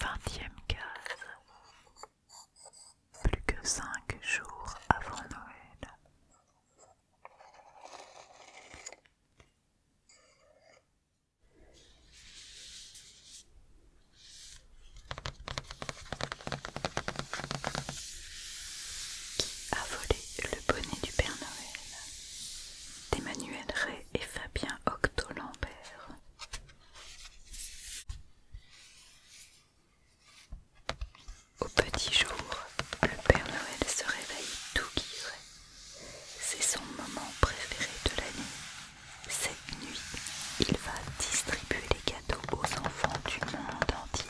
Vingtième case. Plus que cinq jours avant Noël. Qui a volé le bonnet du Père Noël D'Emmanuel Ray et Fabien Octo Lambert. Au petit jour, le Père Noël se réveille tout gris. C'est son moment préféré de la nuit Cette nuit, il va distribuer les cadeaux aux enfants du monde entier.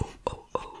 Oh oh oh,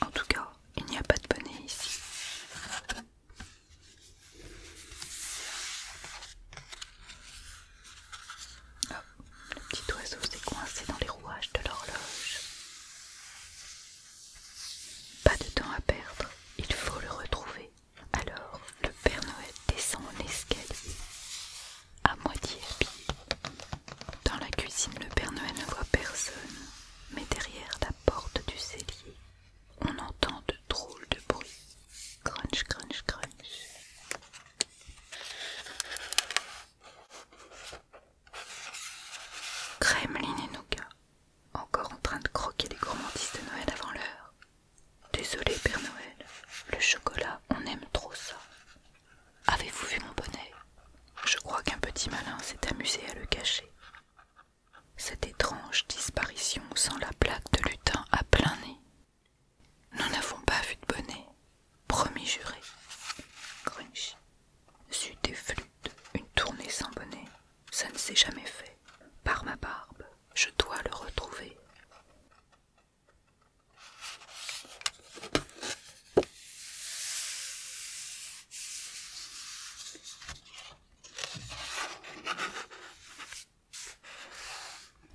en tout cas, il n'y a pas de bonnet ici. le petit oiseau s'est coincé dans les rouages de l'horloge. Pas de temps à perdre, il faut le retrouver. Alors, le Père Noël descend en escalier, à moitié habillé. Dans la cuisine, le Père Noël ne voit personne mais derrière la porte du cellier, on entend de drôles de bruits. Crunch, crunch, crunch. Kremlin et Nougat, encore en train de croquer les gourmandises de Noël avant l'heure. Désolé, Père Noël, le chocolat, on aime trop ça. Avez-vous vu mon bonnet Je crois qu'un petit malin s'est amusé à le cacher. Cette étrange disparition sans la plaque de lutin à plein nez. Nous n'avons pas vu de bonnet, promis juré. Grunch. des flûtes, une tournée sans bonnet, ça ne s'est jamais fait. Par ma barbe, je dois le retrouver.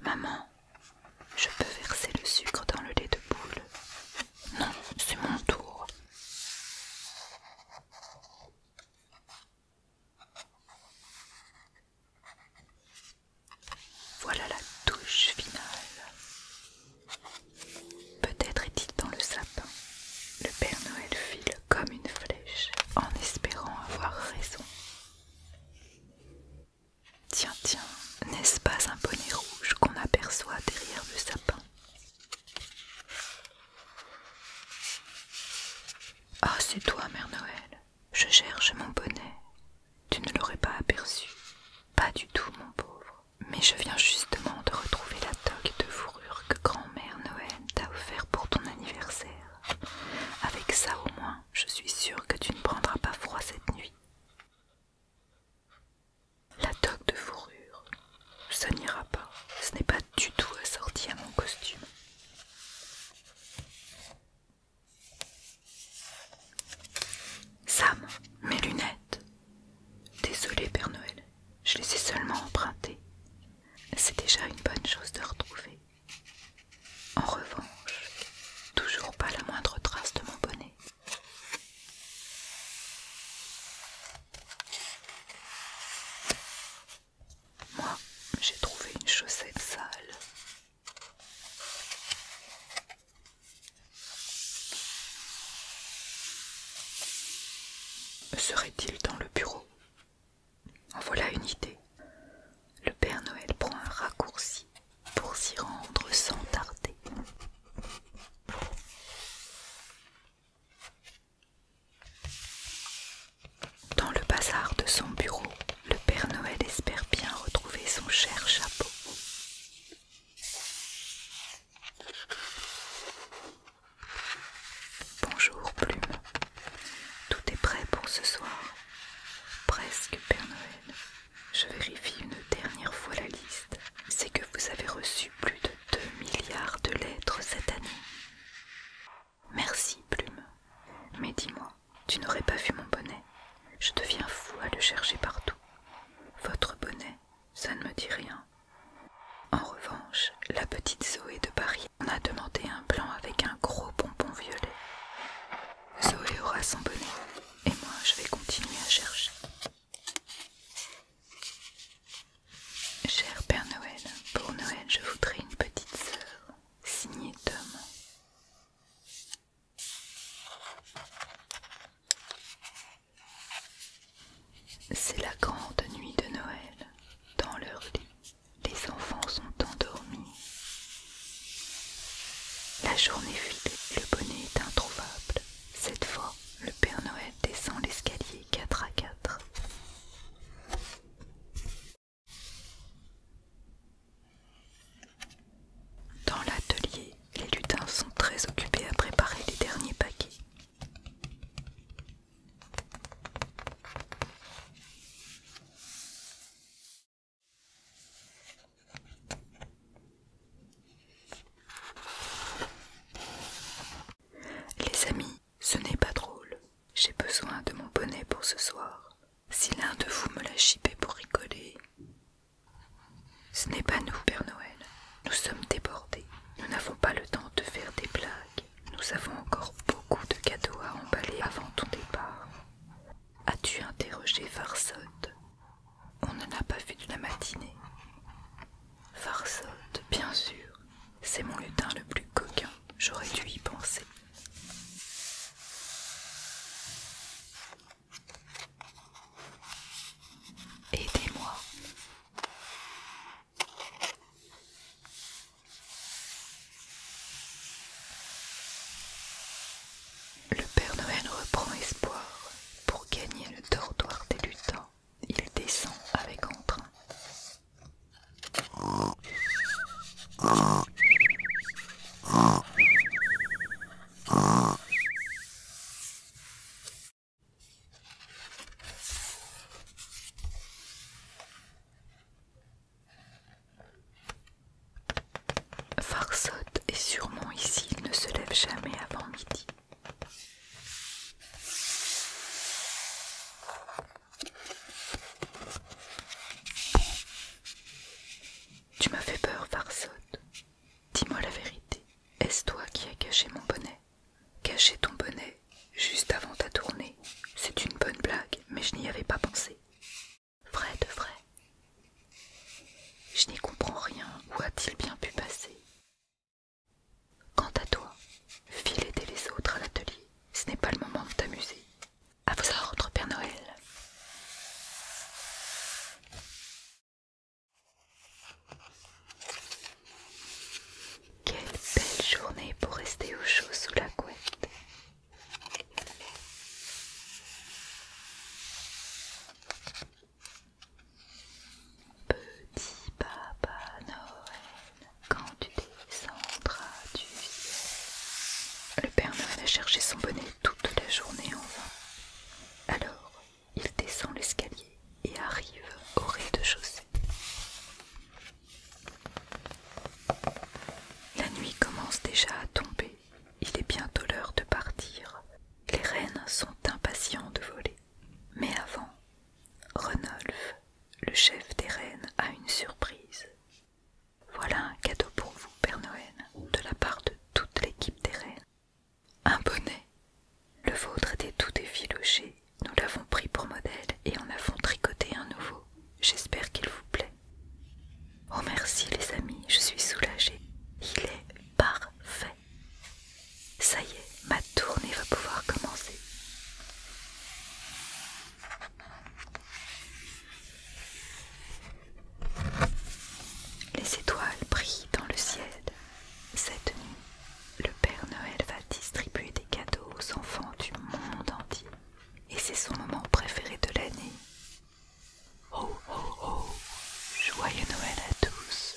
Maman, je peux verser le sucre dans le lait de poule. Non, c'est mon tour. Voilà la touche finale. Peut-être est-il dans le sapin. Le Père Noël file comme une flèche en espérant avoir raison. Tiens, tiens, n'est-ce pas un bonnet rouge qu'on aperçoit derrière le sapin Ah, c'est toi, Mère Noël. Je cherche mon bonnet. Tu ne l'aurais pas aperçu. Pas du tout, mon pauvre. Mais je viens justement de retrouver la toque de fourrure que grand-mère Noël t'a offert pour ton anniversaire. Avec ça au moins, je suis sûre que tu ne prendras pas froid cette nuit. La toque de fourrure, ça n'ira pas. Ce n'est pas du tout assorti à mon costume. Sam, mes lunettes. Désolée Père Noël, je les ai seulement empruntées. C'est déjà une bonne chose de retrouver. En revanche, toujours pas la moindre trace de mon bonnet. Moi, j'ai trouvé une chaussette sale Serait-il dans le bureau En voilà une idée. Le Père Noël prend un raccourci pour s'y rendre sans tarder. Dans le bazar de son bureau, le Père Noël espère bien retrouver son cher chapeau. Bonjour Plume, tout est prêt pour ce soir. Presque Père Noël. Je vérifie une dernière fois la liste. C'est que vous avez reçu plus de 2 milliards de lettres cette année. Merci, Plume. Mais dis-moi, tu n'aurais pas vu mon bonnet Je deviens fou à le chercher partout. Votre bonnet, ça ne me dit rien. En revanche, la petite Zoé de Paris en a demandé un blanc avec un gros bonbon violet. Zoé aura son bonnet, et moi je vais continuer à chercher. Cher Père Noël, pour Noël, je voudrais une petite sœur signé Tom. C'est la grande nuit de Noël. Dans leur lit, les enfants sont endormis. La journée file le bonnet est introuvable. Cette fois, le Père Noël descend l'escalier 4 à 4. Dans l'atelier, les lutins sont très occupés à préparer les derniers paquets. Les amis, ce n'est pas drôle. J'ai besoin de mon bonnet pour ce soir. Si l'un de vous me l'a chipé pour rigoler. Ce n'est pas nous, Père Noël. Nous sommes débordés. Nous n'avons pas le temps de faire des blagues. Nous avons encore beaucoup de cadeaux à emballer avant ton départ. As-tu interrogé Farsotte On ne l'a pas vu de la matinée. Farsotte, bien sûr. C'est mon lutin le plus coquin, j'aurais dû y penser. Aidez-moi. Le Père Noël reprend espoir pour gagner le dortoir des lutins il descend avec entrain. Farsotte est sûrement ici, il ne se lève jamais avant midi. Tu m'as fait peur, farceau. Dis-moi la vérité. Est-ce toi qui as caché mon bonnet Caché ton bonnet juste avant ta tournée. C'est une bonne blague, mais je n'y avais pas pensé. Vrai de vrai. Je n'y comprends rien. Où a-t-il bien pu passer Quant à toi, file aider les autres à l'atelier, ce n'est pas le moment de t'amuser. À vos ordres, Père Noël. Quelle belle journée pour rester au chaud sous la couette. Petit Papa Noël, quand tu descendras du Le Père Noël a cherché son bonnet toute la journée en vain. Alors, il descend l'escalier et arrive au rez-de-chaussée. La nuit commence déjà à tomber. Il est bientôt l'heure de partir. Les reines sont impatients de voler. Mais avant, Renolf, le chef des reines, a une surprise. Voilà un cadeau pour vous, Père Noël, de la part de toute l'équipe des reines. Un bonnet. Le vôtre était tout effiloché. Nous l'avons pris pour modèle et en avons tricoté un nouveau. J'espère qu'il vous plaît. Oh merci les amis, je suis soulagée. Il est parfait. Ça y est, ma tournée va pouvoir commencer. Les étoiles brillent dans le ciel. Cette nuit, le Père Noël va distribuer des cadeaux aux enfants du monde entier. Et c'est son moment préféré de l'année. Oh oh oh Joyeux Noël à tous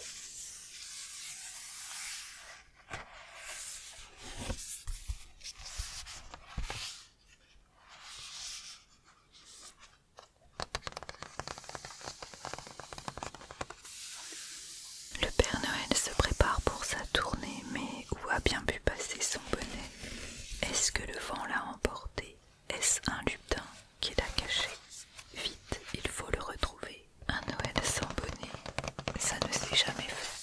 Le Père Noël se prépare pour sa tournée, mais où a bien pu passer son bonnet Est-ce que le vent l'a emporté est-ce un lupin qui l'a caché Vite, il faut le retrouver. Un Noël sans bonnet, ça ne s'est jamais fait.